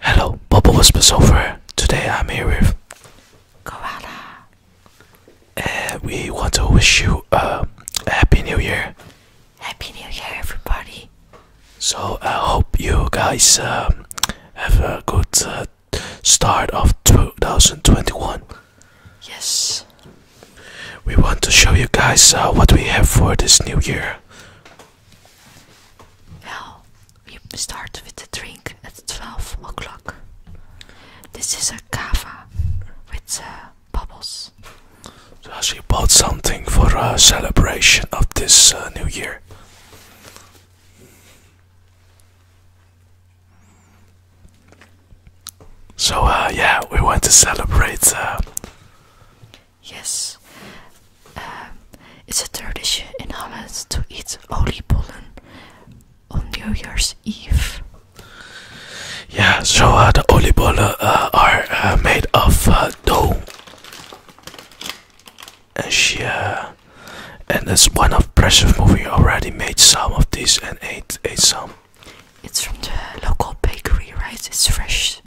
Hello, Bubble Whisper Software. Today I'm here with Corona. And we want to wish you a Happy New Year. Happy New Year, everybody. So I hope you guys um, have a good uh, start of 2021. Yes. We want to show you guys uh, what we have for this new year. Well, we start with the drink at 12 o'clock. This is a cava with uh, bubbles. So she bought something for a celebration of this uh, new year. So uh, yeah, we want to celebrate Yes. Um, it's a tradition in Holland to eat oliebollen on New Year's Eve. Yeah, so uh, the oliebollen uh, are uh, made of uh, dough. And she, and it's one of Pressure movie already made some of these and ate, ate some. It's from the local bakery, right? It's fresh.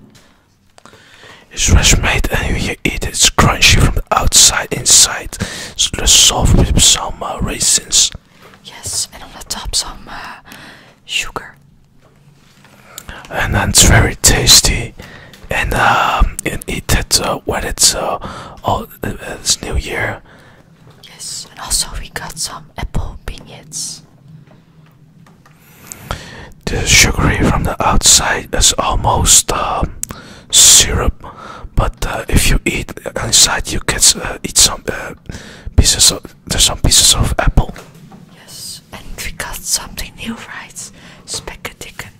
It's fresh made and when you eat it, it's crunchy from the outside inside. It's the soft with some raisins. Yes, and on the top some uh, sugar. And then it's very tasty. And um, eat it uh, when it's uh, uh it's New Year. Yes, and also we got some apple beignets. The sugary from the outside is almost um, syrup, but uh, if you eat inside, you can uh, eat some uh, pieces of there's some pieces of apple. Yes, and we got something new, right? Speckadicken.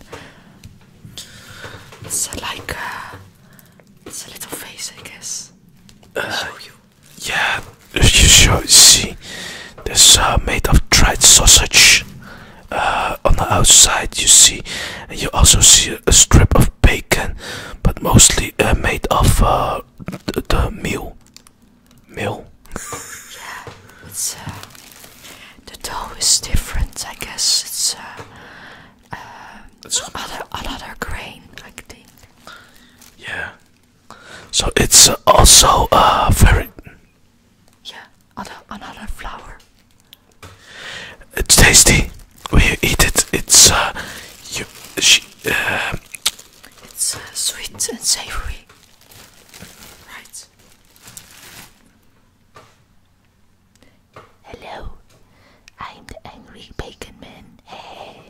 It's like it's a little face, I guess. Uh, show you. Yeah, if you show, see, this made of dried sausage. Uh, on the outside, you see, you also see a strip of bacon, but mostly uh, made of uh, the, meal. Meal. yeah, it's the dough is different. I guess it's another another grain, I think. Yeah. So it's also very yeah, another flower. It's tasty. When you eat it, it's uh, you, she, um, it's uh, sweet and savory, right? Hello, I'm the angry bacon man. Hey.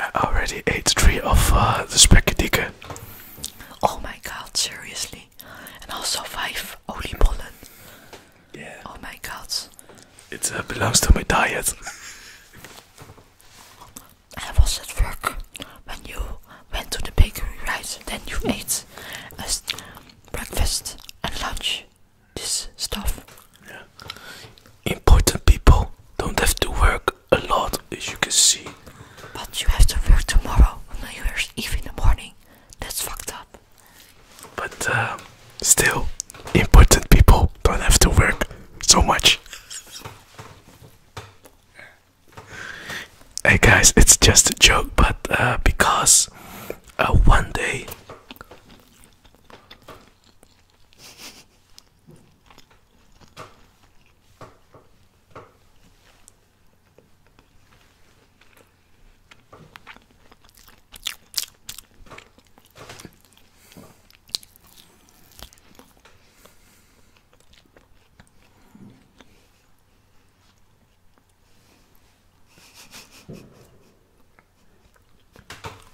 I already ate three of the uh, the spaghetti. Oh my god, seriously. And also five oliebollen. Yeah. Oh my god. It uh, belongs to my diet. I was at work when you went to the bakery right then you hmm. ate as breakfast and lunch this stuff yeah. important people don't have to work a lot as you can see but you have to work tomorrow on new year's eve in the morning that's fucked up but uh, still important people don't have to work so much Hey guys, it's just a joke, but uh, because uh, one day.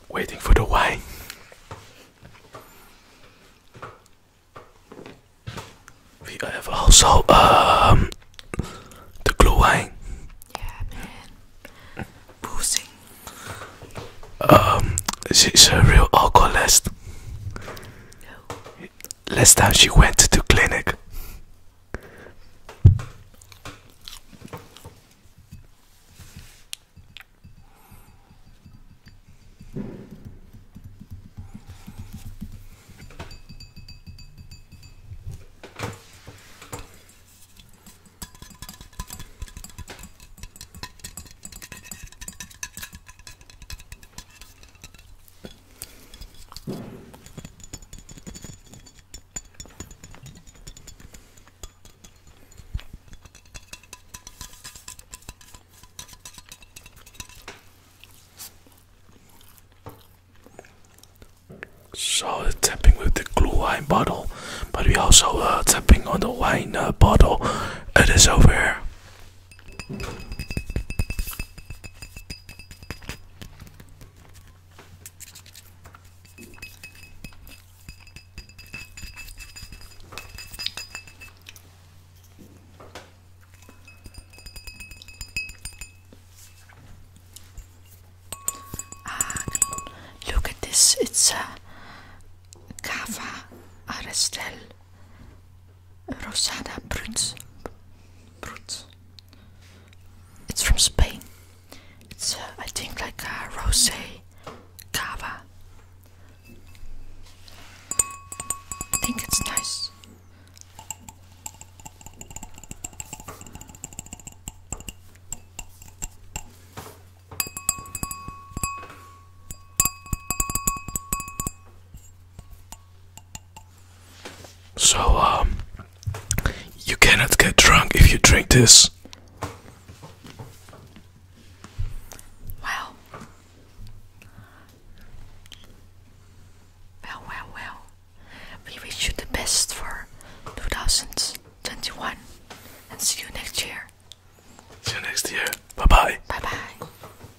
Waiting for the wine. We have also um the glue wine. Yeah, man. Boosting. Um, she's a real alcoholist last time she went to clinic. So tapping with the glue wine bottle, but we also uh, tapping on the wine uh, bottle. It is over here. Ah, look at this, it's a cava Arestel Rosada Brut. It's from Spain. It's, uh, I think, like a rosé cava. I think it's nice. So, um, you cannot get drunk if you drink this. well, well, well. We wish you the best for 2021 and see you next year. See you next year. Bye bye. Bye bye.